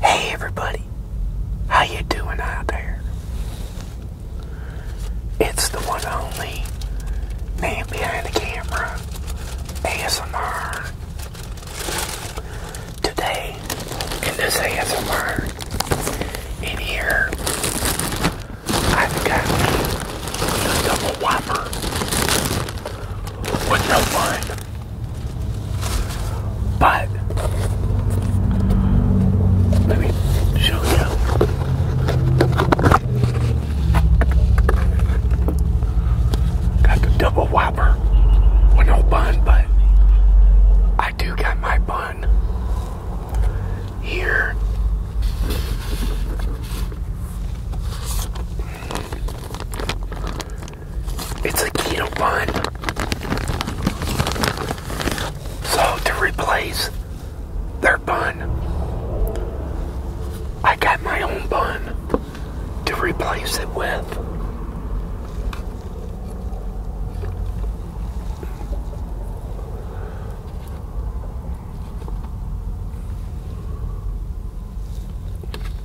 Hey everybody, how you doing out there? It's the one only man behind the camera, ASMR. Today, in this ASMR, in here, I've got a double whopper with no bun. But let me show you. Got the double whopper with no bun, but I do got my bun here. It's a keto bun. So to replace their bun, I got my own bun to replace it with.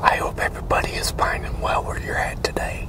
I hope everybody is finding well where you're at today.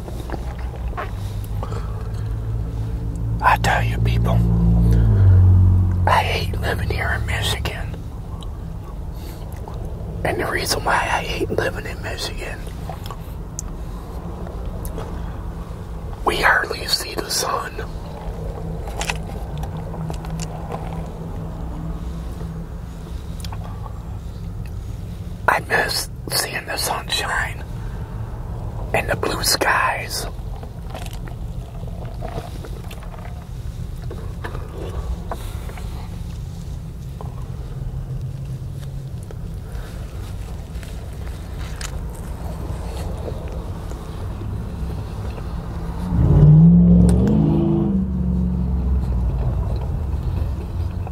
I tell you, people, I hate living here in Michigan. And the reason why I hate living in Michigan, we hardly see the sun. I miss seeing and the sunshine and the blue skies.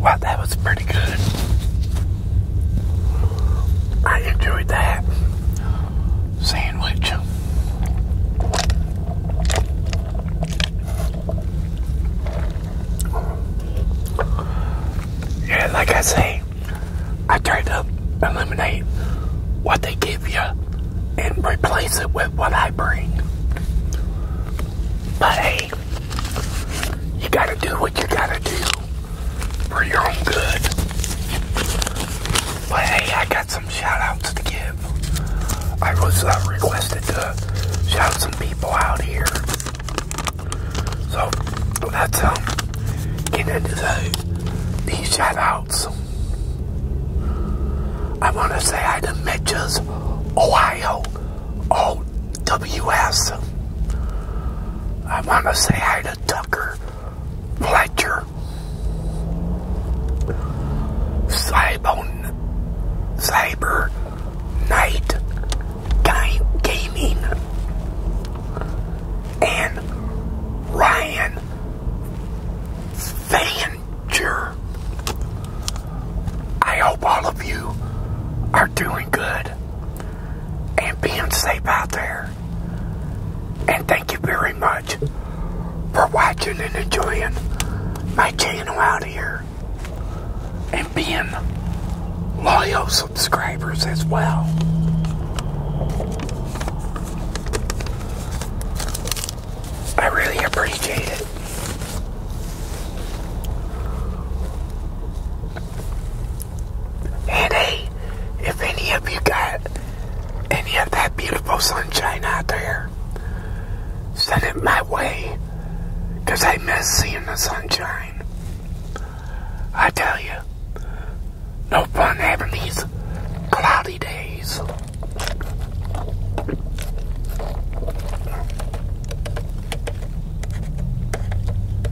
Wow, that was pretty good. I enjoyed that sandwich. Yeah, like I say, I try to eliminate what they give you and replace it with what I bring. But hey, you gotta do what you gotta do for your own good. But hey, I got some shout outs to give. I was uh, requested to shout some people out here. So let's um, get into the, the shout outs. I want to say hi to Mitch's Ohio OWS. I want to say hi to Tucker Fletcher, Cybon, Cyber Knight Game, Gaming, and Ryan Fanger. I hope all of you are doing good and being safe out there. And thank you very much for watching and enjoying my channel out here. And being loyal subscribers as well. I really appreciate it. And hey, if any of you got any of that beautiful sunshine out there, send it my way. Because I miss seeing the sunshine. I tell you, no fun having these cloudy days.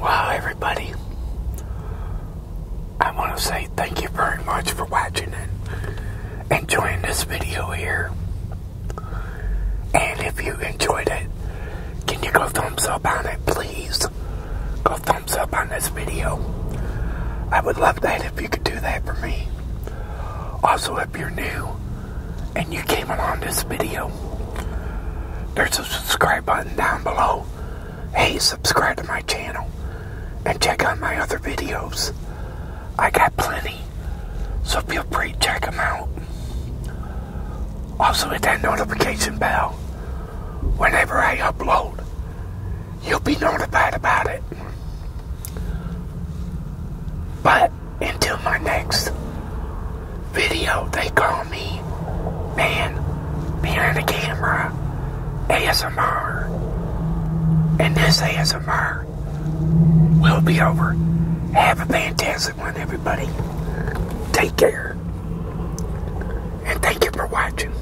Wow, everybody. I want to say thank you very much for watching and enjoying this video here. And if you enjoyed it, can you go thumbs up on it, please? Go thumbs up on this video. I would love that if you could do that for me. Also, if you're new and you came along this video, there's a subscribe button down below. Hey, subscribe to my channel and check out my other videos. I got plenty, so feel free to check them out. Also, hit that notification bell whenever I upload you'll be notified about it. But until my next video, they call me Man Behind the Camera ASMR. And this ASMR will be over. Have a fantastic one, everybody. Take care. And thank you for watching.